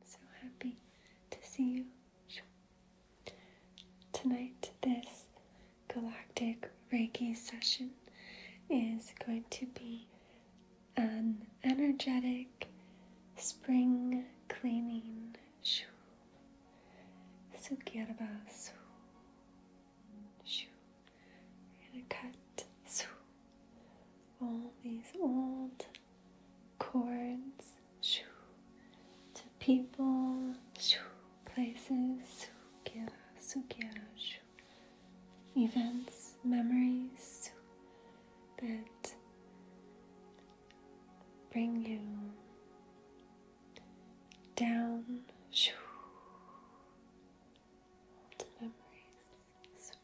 I'm so happy to see you. Tonight, this galactic Reiki session is going to be an energetic spring cleaning. Sukirba su. Shu. gonna cut su. All these old chords to people, shoo, places, sukiya, sukiya, shoo, events, memories that bring you down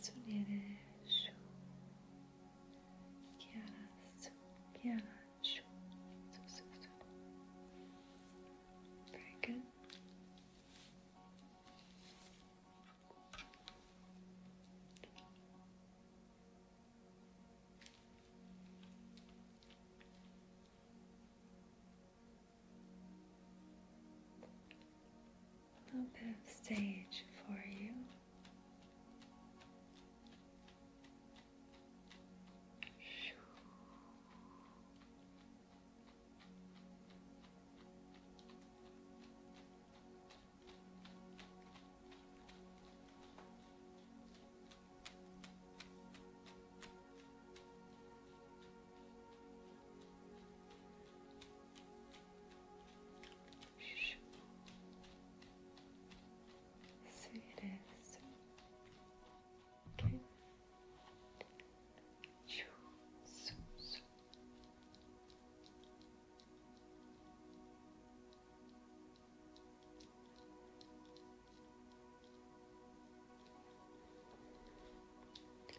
Sunereshu, Kyarasu, Kyarasu, Very good. A little bit of sage for you. So you So, so.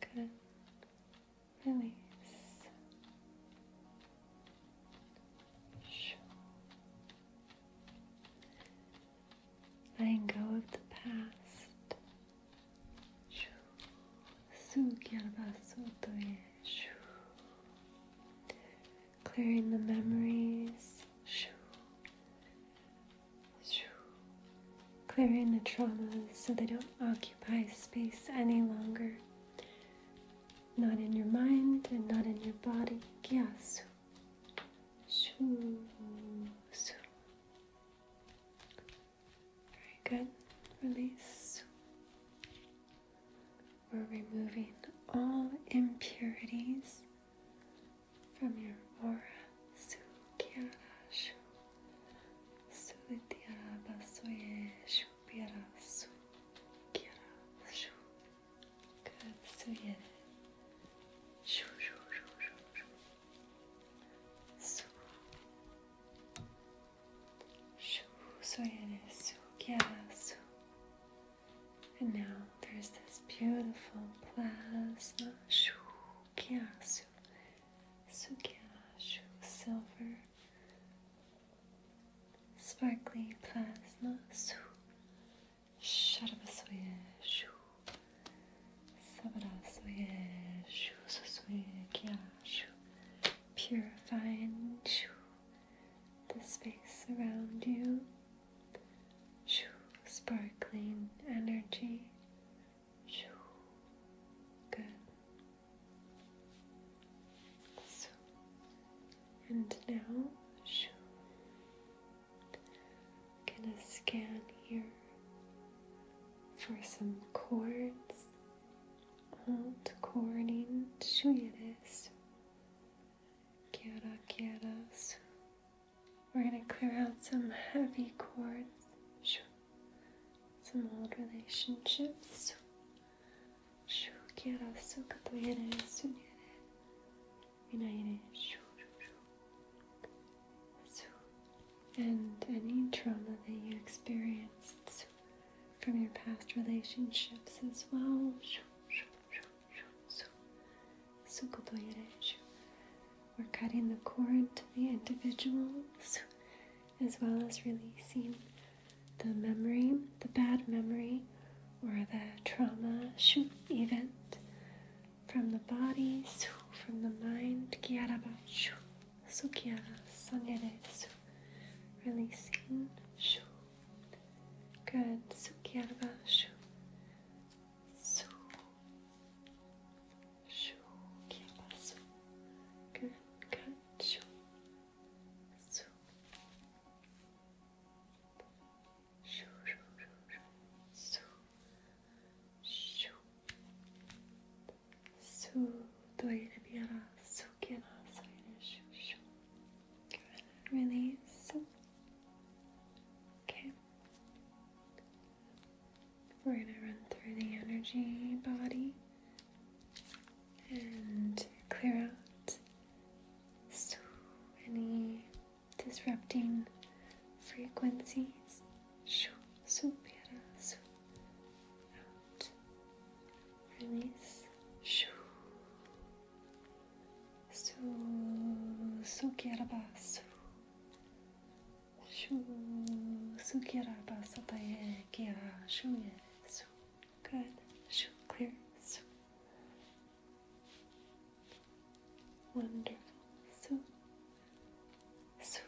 Good. Release. Letting go of the past. Clearing the memories. Clearing the traumas so they don't occupy space any longer. Not in your mind and not in your body. Yes. Very good. Release. We're removing all impurities from your aura. Sudhyara Suyesh Pyara Sukyara Shu Katsuye Shu Shu Shu Shu Shu Su Shu Suyere Sukyara Su And now there's this beautiful plasma Shu Sukiasu, Sukiashu, silver, sparkly plasma, Su, Sharabasoye, Shu, Sabarasoye, Shu, Sosoye, Kiashu, purifying, Shu, the space around you, Shu, sparkling energy. Good. So, and now, gonna scan here for some chords. Alt chording shuyedes. Kiara kiaras. We're gonna clear out some heavy chords some old relationships. and any trauma that you experienced from your past relationships as well or cutting the cord to the individuals, as well as releasing the memory, the bad memory, or the trauma event from the body, from the mind, releasing. Good. Sukyarva shu. Su. Shoo, que passo. Good, good. Shoo. Shoo. Shoo, shoo, shoo, shoo. Shoo. Shoo. Doire biara. Shoo, kera. Soire. Shoo, shoo. Good. Release. Okay. We're going to run through the energy body and clear out so any disrupting frequencies. So, Supera, su, out, release. So, Su, su, so. شو su kira basataye kira shu ye good shu clear su wonderful su su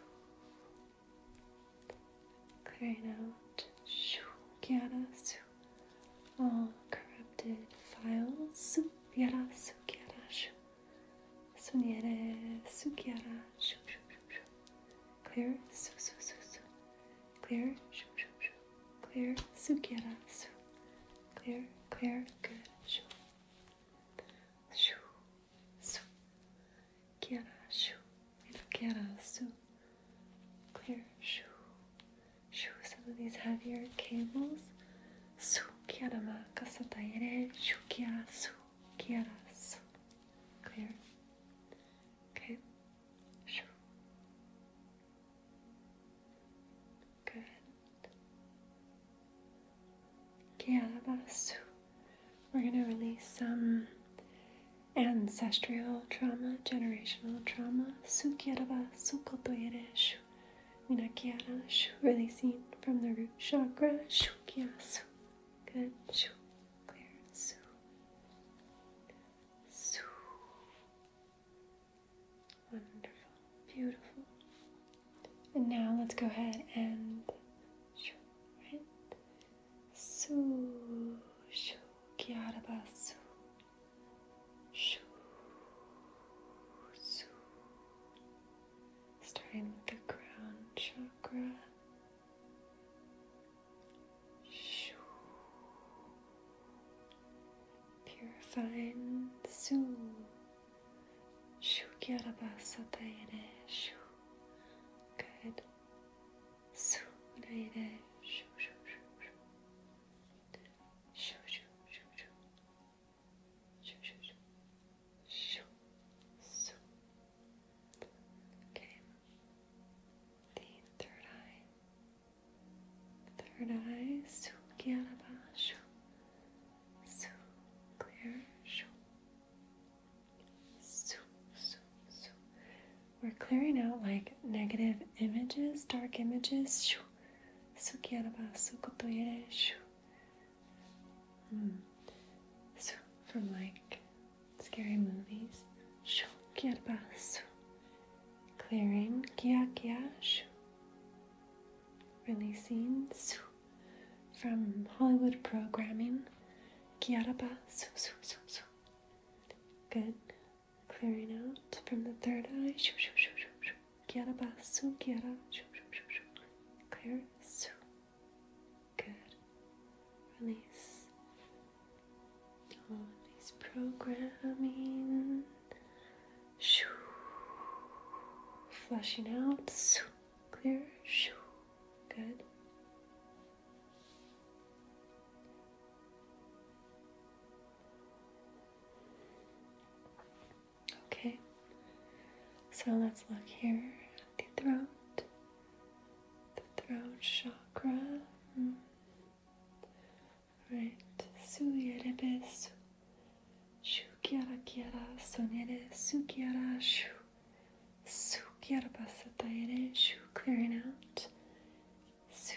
clearing out shu kira all corrupted files su kira su kira Suniere, sukiara, shoo, Clear, su, Clear, shoo, Clear, sukiara, su. Clear, clear, good, shoo. Shoo, su. Kiara, shoo. kiara, su. Clear, shoo. Shoo, some of these heavier cables. Su, kiara ma, kasataire, shoo, su quieras. Clear? Okay. Sure. Good. Quieras. We're going to release some ancestral trauma, generational trauma. Su quieraba, su kotoyereshu. Minakiara, releasing from the root chakra, shukyasu. Good. Clear. Soo. Wonderful. Beautiful. And now let's go ahead and shoo, right? Soo. Shoo. Kyaraba. Soo. Shoo. Soo. Starting with the crown chakra. Purifying Su Shu Kyarabasataire Shu Good Su Naire Shu Shu Shu Shu Shu Shu Shu Shu Shu Shu Shu shoo, shoo. Okay. The third eye. Third eye, sukyanaba, shoo, shoo, clear, shoo, shoo, shoo, shoo. We're clearing out like negative images, dark images, shoo, sukyanaba, sukotoyere, shoo, Hmm. So from like scary movies. Shoo kya pass. Clearing kya kya shoo. Releasing su from Hollywood programming. Kya pass. Su su su. Good. Clearing out from the third eye. Shoo shoo shoo shoo shoo. Kya pass. Su kya shoo shoo shoo shoo. Clear Good. Release all these programming. Shoo. Flushing out. Clear. Shoo. Good. Okay, so let's look here at the throat the throat chakra. Mm. Right. Suyerebesu. Shukiara kiara sonere sukiara shu. Sukiara basataere shu. Clearing out. Su.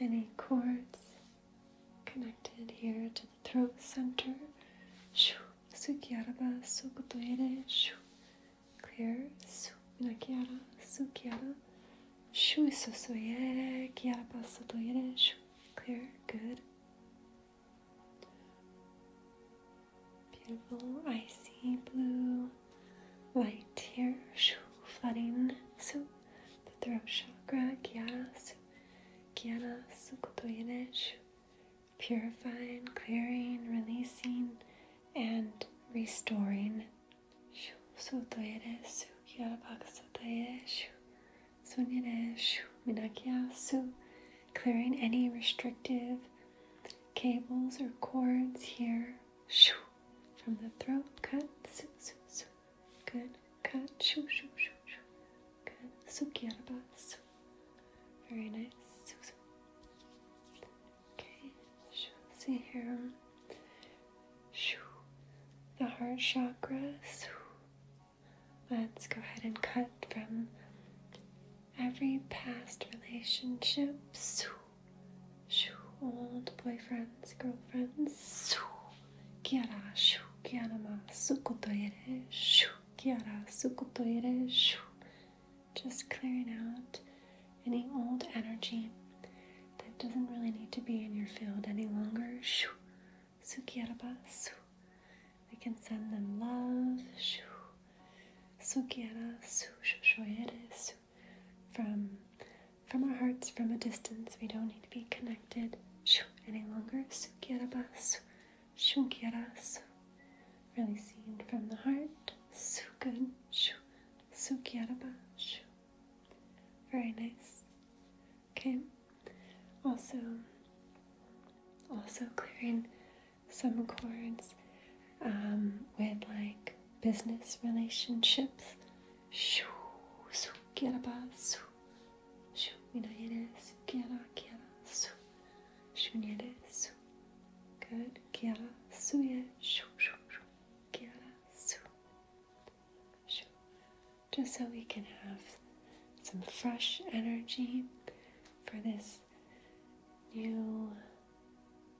Any cords connected here to the throat center. Shoo. Suki araba suku toire shu. Clear su minakiara sukiara shu isosoye kiaraba sotoire shu. Clear, good. Beautiful icy blue light here. Shu flooding so the throat chakra kiara su kiara suku toire shu purifying, clearing, releasing, and restoring. Clearing any restrictive cables or cords here from the throat. Cut, good, cut, good, very nice. Okay, see here. The heart chakras. Let's go ahead and cut from every past relationship. Old boyfriends, girlfriends. Kiara, kiara ma, sukoto yere, shoo. Kiara Sukotoire. Just clearing out any old energy that doesn't really need to be in your field any longer. Sukiyarabasu. We can send them love. Sukiyarasu from from our hearts from a distance. We don't need to be connected any longer. Sukiyarabasu. Shunkyaras really seen from the heart. so shu Sukyaraba shu. Very nice. Okay. Also also clearing some chords um, with like business relationships. Shu Sukyaraba su Shu Minayana Sukyara Kyara su su. Good. Kiara suye shu shu shu. Shu. Just so we can have some fresh energy for this new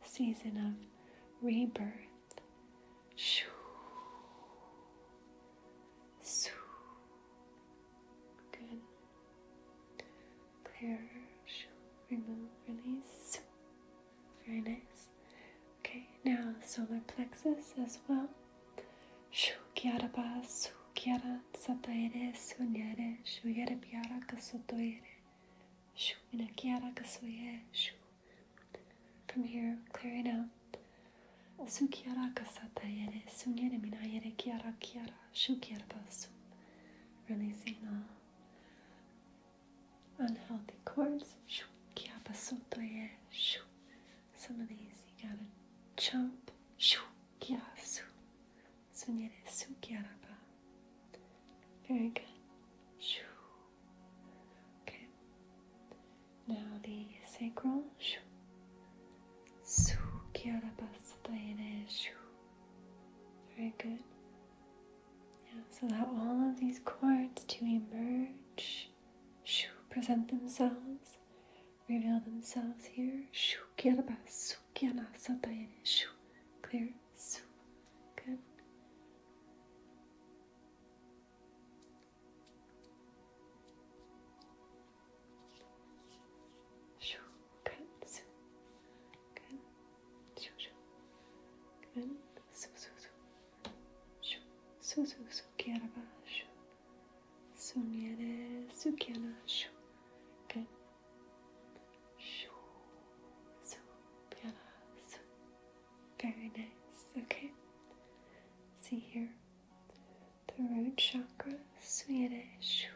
season of rebirth. Shoo. Su. Good. Clear, remove, release. Very nice. Okay, now solar plexus as well. Shu kiara ba su kiara sataere su nyare shu yere piara kasotoere From here, clearing out. minayere kiara kiara Shukyara Basum, releasing all unhealthy cords. Shukyara Basum Toye Some of these you gotta jump. Shukyara Su. Sunyere Sukyara Ba. Very good. Shu. Okay. Now the sacral. Shu. Sukyara Basum Toye very good. so allow all of these chords to emerge, present themselves, reveal themselves here. Shoo, su, clear, su. Good. Shoo, good. Good. Shoo, shoo. Good. Su, su, su. Shoo. Su, su, su, kierwa. Shoo. Sumiere, sukiana. Shoo. Good. Shoo. Su, piana. Su. Very nice. Okay. See here. The root chakra. Sumiere. Shoo.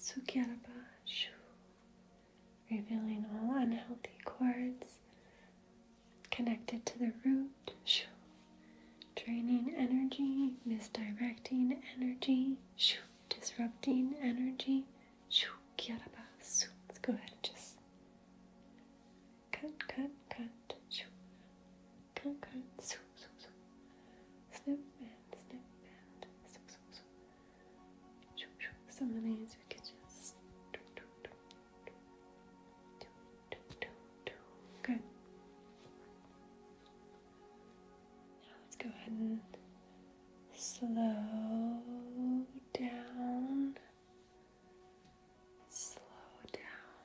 Sukyaraba Shu, revealing all unhealthy cords connected to the root Shu, draining energy, misdirecting energy Shu, disrupting energy Shu, Kyaraba Su. Let's go ahead and just cut, cut, cut, Cut, cut, cut, snip, snip, snip and snip and snip, Some of these we could just do, do, do, do, do, do, do, Good. Now let's go and slow down. Slow down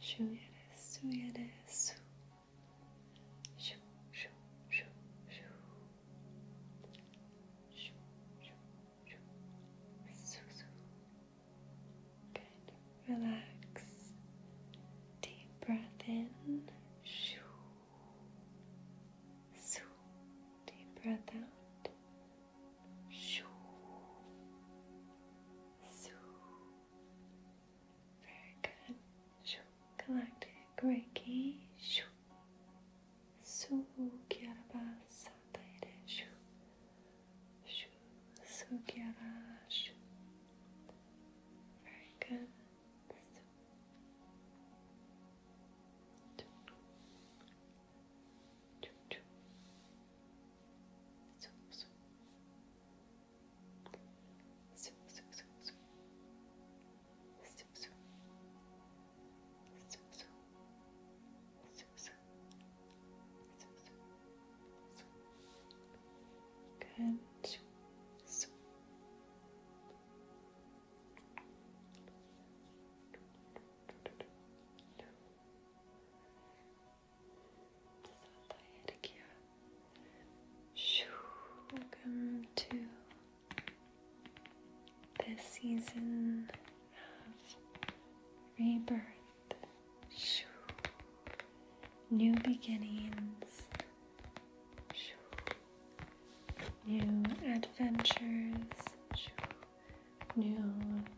Şu yere, su yere, su. Şu, şu, şu, şu. Şu, şu, şu. Su, su. Good. Relax. Deep breath in. Shoo. Shoo. Deep breath out. Shoo. Very good. Shoo. Galactic Reiki. Shoo. Sugyaraba Sataire. Very good. Good. So. Good. Welcome to this season of rebirth, new beginnings, new adventures, new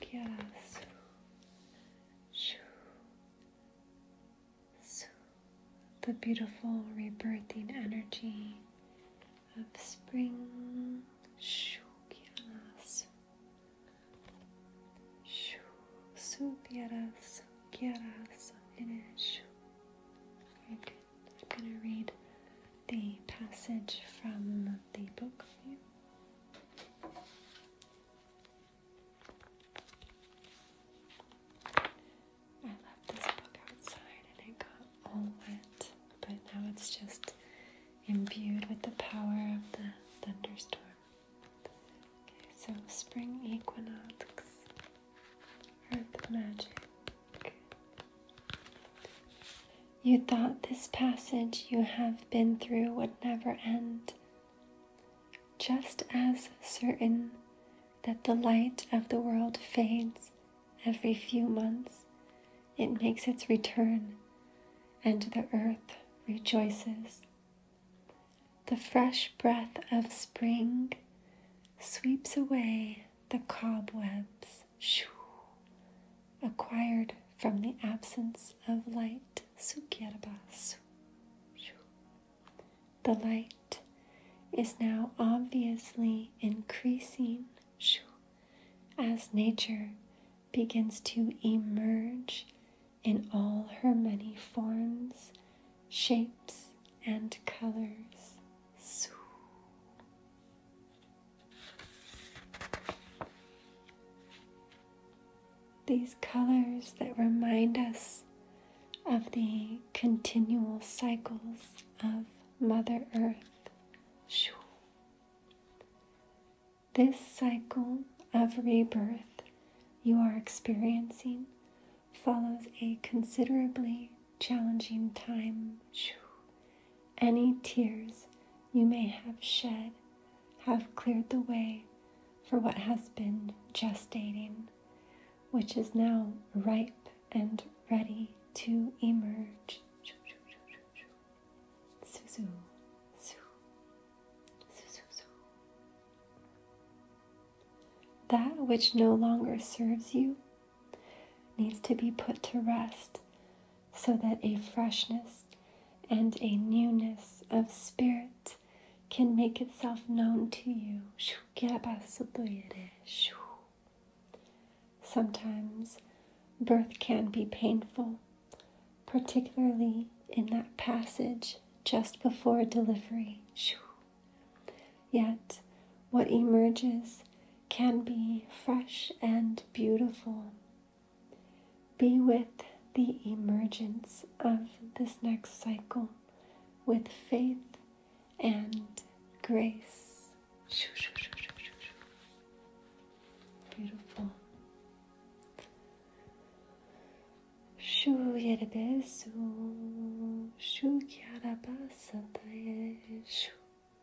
Pia su shu the beautiful rebirthing energy of spring shu pia shu su pia su I'm gonna read the passage from the book for you. I left this book outside and it got all wet, but now it's just imbued with the power of the thunderstorm. Okay, so spring equinox, earth magic. You thought this passage you have been through would never end. Just as certain that the light of the world fades every few months, it makes its return, and the earth rejoices. The fresh breath of spring sweeps away the cobwebs acquired from the absence of light. The light is now obviously increasing as nature begins to emerge in all her many forms, shapes, and colors. These colors that remind us of the continual cycles of Mother Earth. This cycle of rebirth you are experiencing follows a considerably challenging time. Any tears you may have shed have cleared the way for what has been gestating, which is now ripe and ready to emerge. That which no longer serves you needs to be put to rest so that a freshness and a newness of spirit can make itself known to you. Sometimes birth can be painful, particularly in that passage just before delivery. Yet, what emerges can be fresh and beautiful be with the emergence of this next cycle with faith and grace. Beautiful. Shu yerebesu, shu kyarabasadayeshu.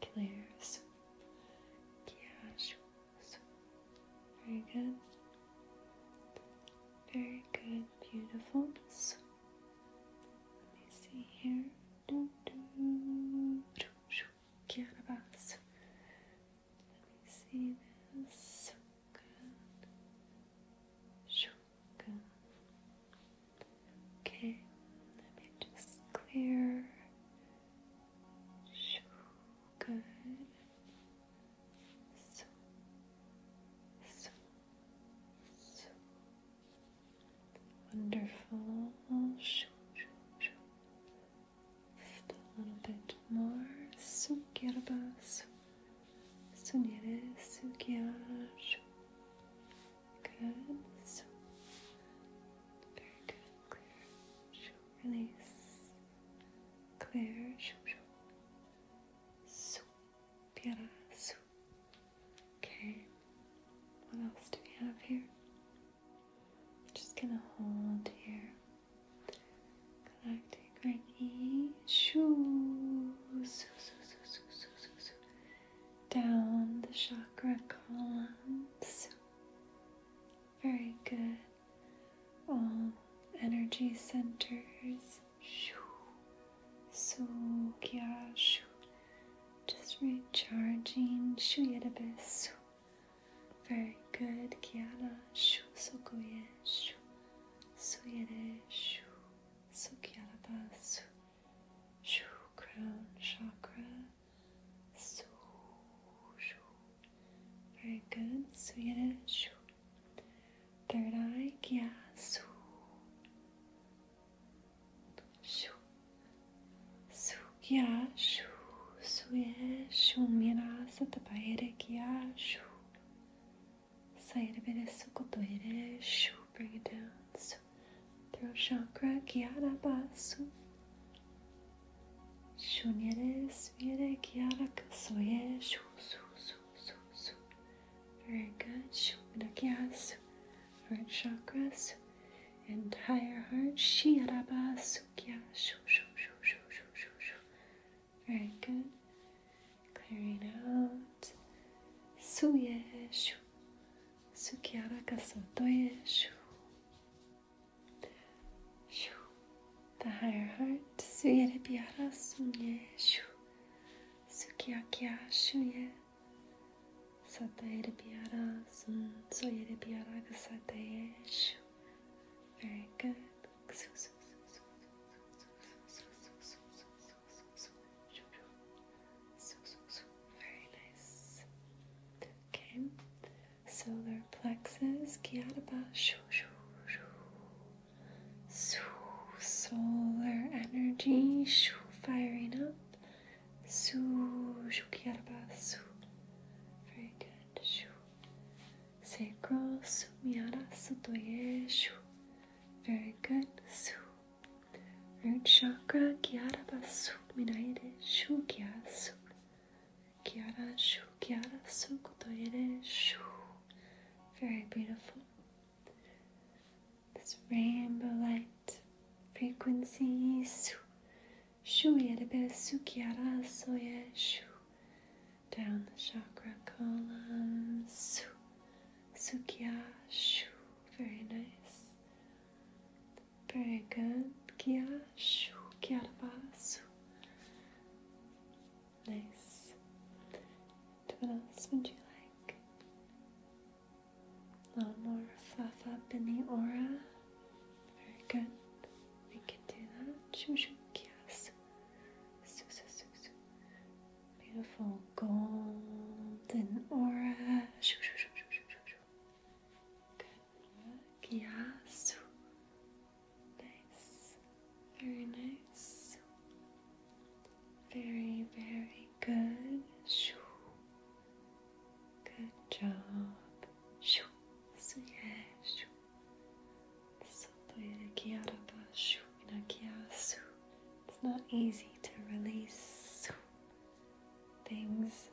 clear Very good. Very good, beautiful. let me see here. Do, do, Let me see this. Good. Good. Okay, let me just clear. Good. So, so, so. Wonderful. Shoo, shoo, shoo. a little bit more. Su kirba, su, sunire, sukia, shoo. Good. So, very good clear, shoo, release, clear, shoo, shoo. Su, piara, su. Okay, what else do we have here? Just gonna hold here. Galactic Reiki, shoo, su, su, su, su, su, su, su. Down the chakra column, su. Very good. All energy centers. So kya shu. Just recharging. Shu yedabesu. Very good. Kiana shu sokoye shu. Suyere shu. Sukyarabasu. Shu crown chakra su, shu. Very good. Suyere, shu. Third eye, kya, su. Shu. Su, kya, shu. Suye, shu. Mira, satabayere, kya, shu. Sayere, bere, su, kotoyere, shu. Bring it down, su throat chakra, kiara Basu. Shunyare Svire kiara Kasoye Shu Su Su Su Su. Very good. Shuna Gyasu. Heart chakras, Entire heart, Kiara Basu kiara. Shu Shu Shu Shu Shu Shu Shu. Very good. Clearing out. Su Shu. Su kiara Shu higher heart suyere bir ara sunye shu sukyakia shuye satayere bir ara sun soyere bir ara gsataye shu very good very nice okay solar plexus, Gyataba, shoo, shoo, shoo. Shoo, solar energy, shoo, firing up, shoo, shoo, Gyataba, shoo. Very good, shoo. Sacral, sumiara, sutoye, shoo. Very good, shoo. Root chakra, Gyataba, shoo, minaide, shoo, gya, shoo. Kiara shu, kiara su shu. Very beautiful. This rainbow light frequencies. su. Shu yerebe su shu. Down the chakra column su. Sukya shu. Very nice pregando, que acho, que arvaço. Nice. what else would you like? A little more fluff up in the aura. Very good. We can do that. Shushukiasu. Susususu. Beautiful golden aura. Shushushushushushu. Good. Look, Nice. Very nice. Very, very good. Good job. Isso é. It's not easy to release things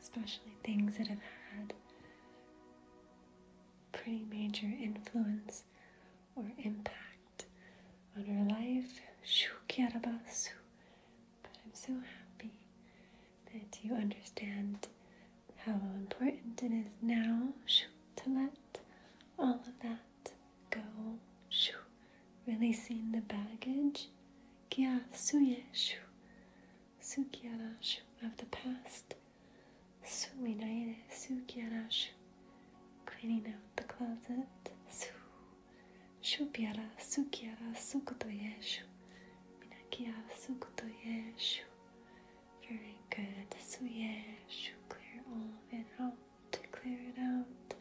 especially things that have had pretty major influence or impact on our life. But I'm so happy that you understand how important it is now to let all of that go. Releasing the baggage Kya suyeshu, sukyarashu of the past, suminaire sukyarashu, cleaning out the closet, su, shubyara sukyara sukutoyeshu, minakya sukutoyeshu. Very good, suyeshu, clear all of it out, clear it out,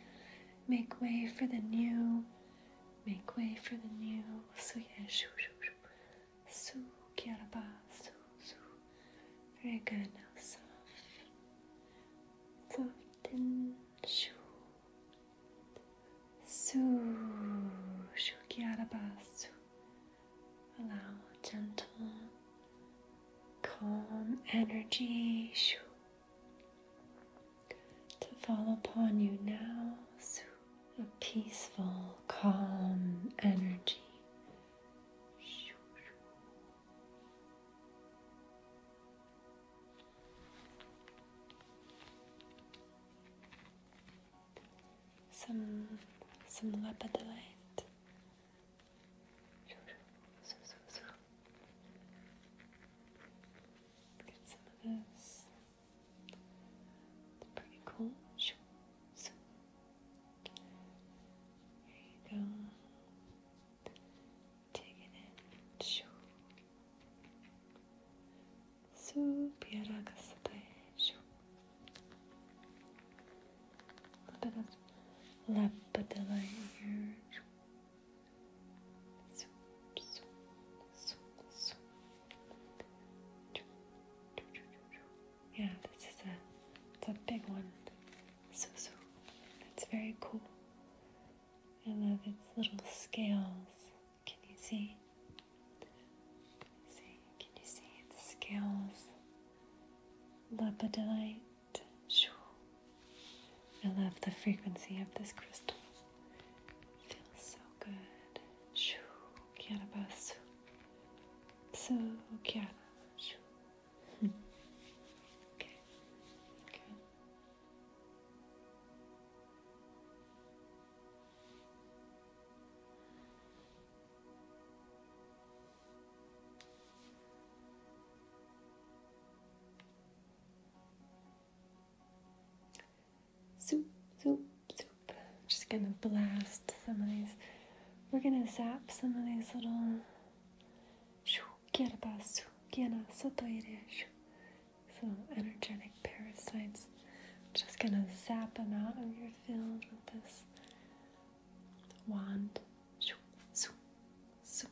make way for the new. Make way for the new Suya Shu Shu kiara bass, Su Su. Very good. Now soft. Soft and Shu. Su Shu Kyaraba Su. Allow gentle, calm energy. Shu to fall upon you now. A peaceful, calm energy. Some some lapidolite. Look at some of this. It's pretty cool. Shoo, so. you go. Take it in. Shoo. Supiara kasate. Shoo. A little bit of lapidilla here swoop, Yeah, this is a it's a big one. So so that's very cool. I love its little scales. Can you see? See, can you see its scales? Lepidolite. I love the frequency of this crystal. feels so good. Shoo, So Soup, soup, soup. just gonna blast some of these. We're gonna zap some of these little. So energetic parasites. just gonna zap them out of your field with this wand. Zoom, zoom, zoom,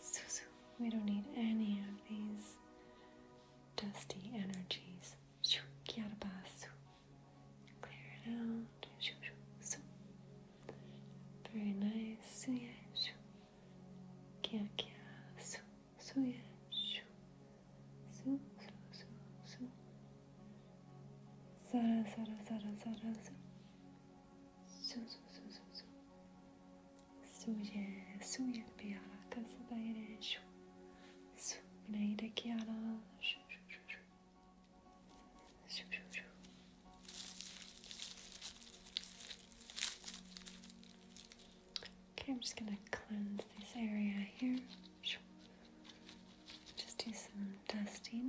Susu. We don't need any of these dusty energies. Clear it out. Very nice. Sara, sara, sara, sara, sara. Su, su, su, su, su. سوي البيارات صدايرة شو سو من عيدك يا شو شو شو شو شو شو شو Okay, I'm just gonna cleanse this area here. Just do some dusting.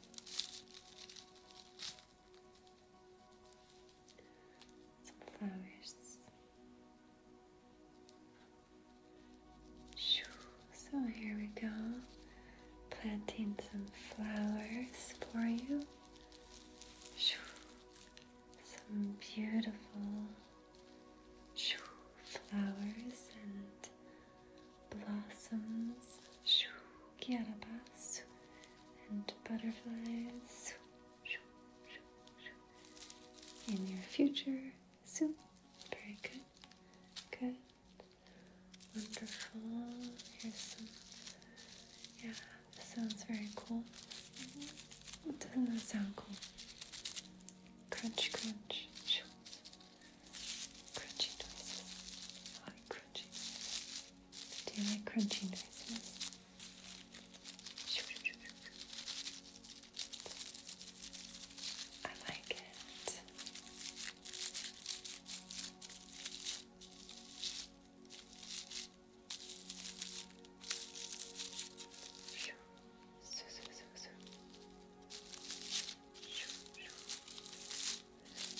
Some flowers. So here we go, planting some flowers for you. Some beautiful flowers and blossoms, shoo, and butterflies in your future soon. Very good, good, wonderful. Here's yeah, sounds very cool. Doesn't that sound cool? Crunch, crunch, shoo, Crunchy noises. I like crunchy Do you like crunchy noises? I like it. So,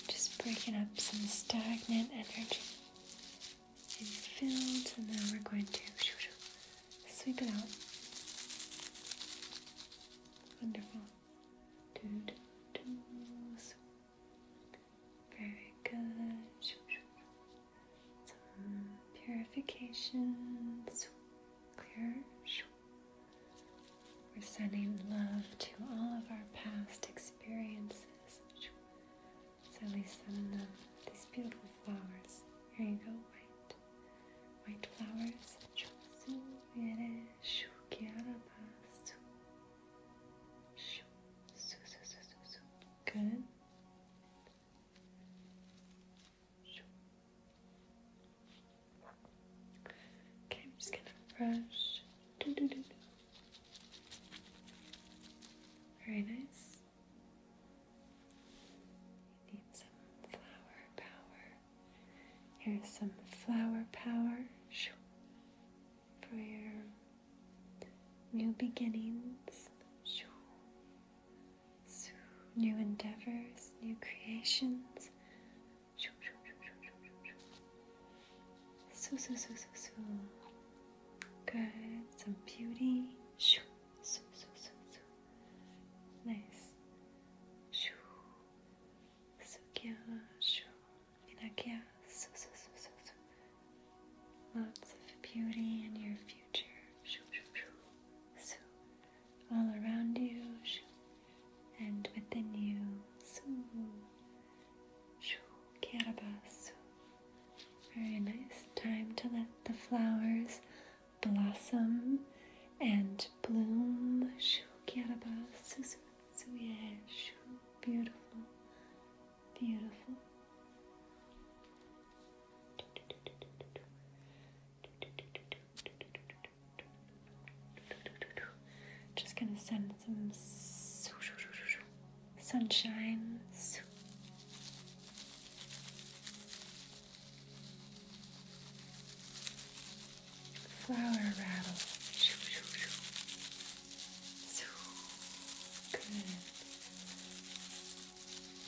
just breaking up some stagnant energy in fields, and then we're going to sweep it out. Wonderful. Very good. Some purifications. Clear. We're sending love to all of our past experiences. So we send these beautiful flowers. Here you go, white. White flowers. Good. Okay, I'm just gonna brush. Do, do, do, Very nice. need some flower power. Here's some flower power for your new beginnings, new endeavors, new creations. Shoo, shoo, shoo, shoo, shoo, shoo, shoo. Soo, soo, soo, soo, soo. Good. Some beauty. Shoo, soo, soo, soo, soo. Nice. Shoo. Sukya, shoo. Inakya, soo, soo, soo, soo, soo. Lots of beauty in your future. Shoo, shoo, shoo. Soo. All around you. Shoo, and within you, Kirabasu. Very nice time to let the flowers blossom and bloom. Beautiful, beautiful. Just gonna send some sunshine. Flower rattle. Good.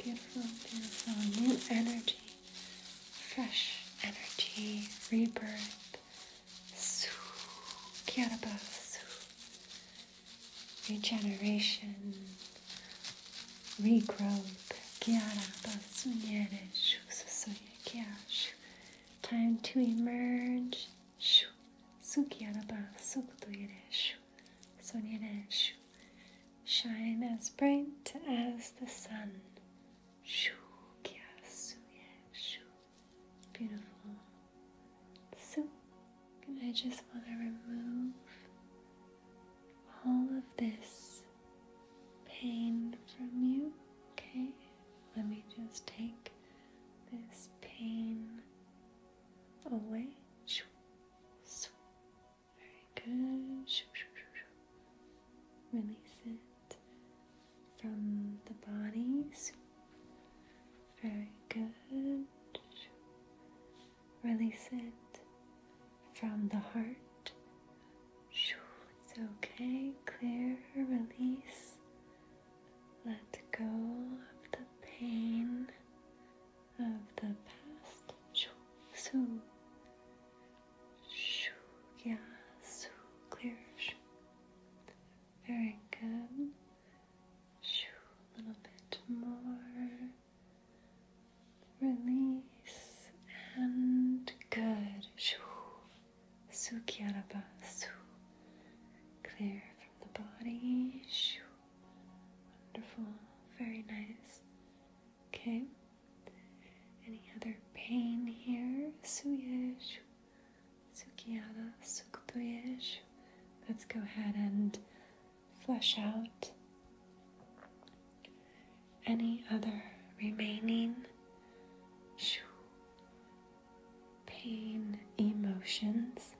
Beautiful, beautiful new energy, fresh energy, rebirth, Su, Kyarabasu. Regeneration, regrowth, Kyarabasu Nyereshu, Susuya Kyashu. Time to emerge, Shu, Sukyarabasu Kutuyereshu, Sonyereshu. Shine as bright as the sun. Shoo, Beautiful. So, I just want to remove all of this pain from you. Okay, let me just take this pain away. Very good. Release it from the bodies. Very good. Release it from the heart. It's okay. Clear, release. Let go of the pain of the past. So yeah, so clear. Very good. A little bit more. Release and good. Shoo, Sukyaraba. Clear from the body. Wonderful. Very nice. Okay. Any other pain here? Suye. Sukiyana Sukpuyej. Let's go ahead and flush out any other remaining pain emotions,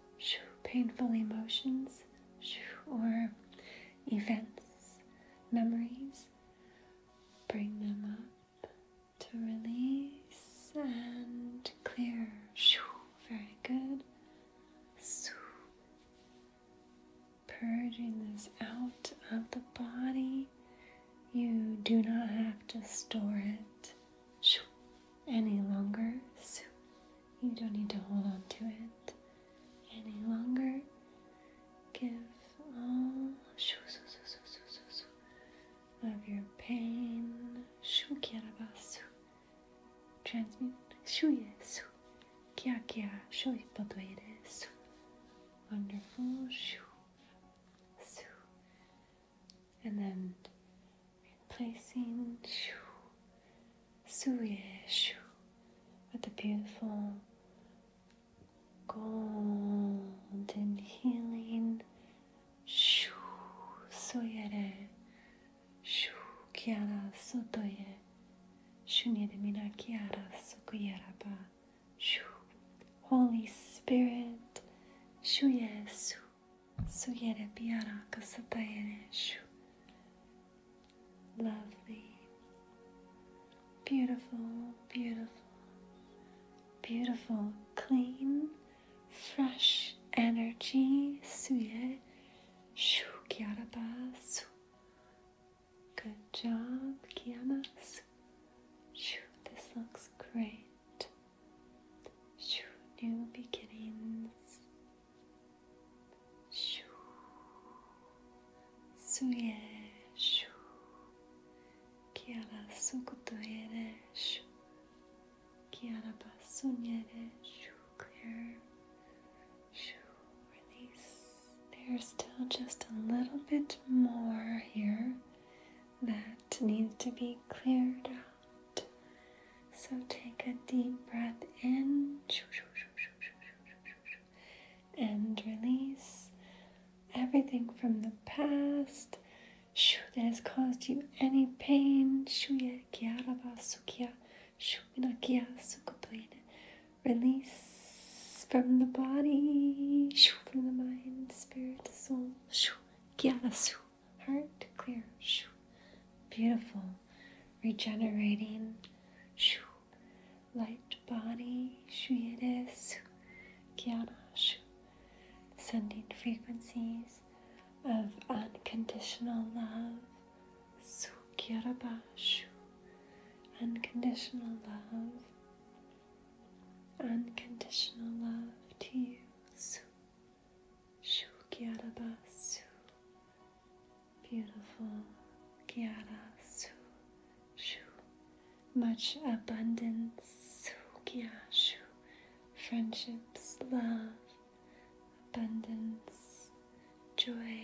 painful emotions, or events, memories. Bring them up to release and clear. Very good. Purging this out of the body. You do not have to store it any longer. You don't need to hold on to it any longer. Give all of your pain. Shu kiarabasu. Transmute. Shu yesu. Kia kia. Shu Wonderful. And then replacing yeshu. With a beautiful golden healing shu soyere shu kiara sotoye shunyere mina kiara sukuyaraba shu Holy Spirit shu yesu suyere piara kasatayere shu lovely beautiful beautiful beautiful, clean, fresh energy. Good job, Kiamas. This looks great. New beginnings. Suye. Kiarasu kutuereshu. Kiarabasunyereshu. Clear. Shoo. Release. There's still just a little bit more here that needs to be cleared out. So take a deep breath in and release everything from the past that has caused you any pain. Release from the body, from the mind, spirit, soul, heart, clear, beautiful, regenerating, light body, gyana, sending frequencies of unconditional love. Sukyarabashu. Unconditional love. Unconditional love to you. Su. Shukyarabasu. Beautiful. Gyarasu much abundance, friendships, love, abundance, joy,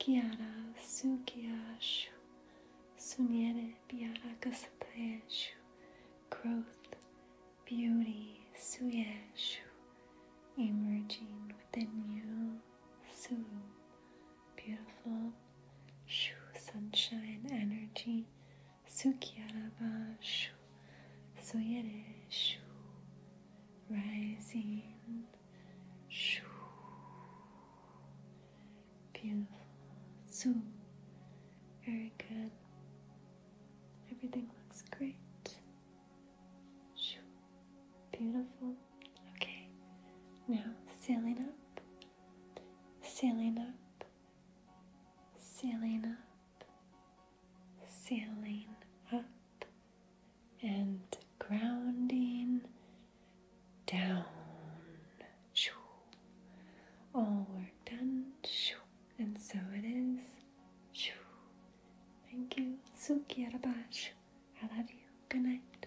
kiara, sukyashu, sunyere, piara, kasatayeshu, growth, beauty, suyeshu, emerging within you, su, beautiful. Shu sunshine energy. Sukyarava shu. Suyere shu. Rising shu. Beautiful. So. Very good. Everything looks great. Shoo. Beautiful. Okay. Now sailing up. Sailing up. Sealing up, sealing up, and grounding down. All work done, and so it is. Thank you. Suki I love you. Good night.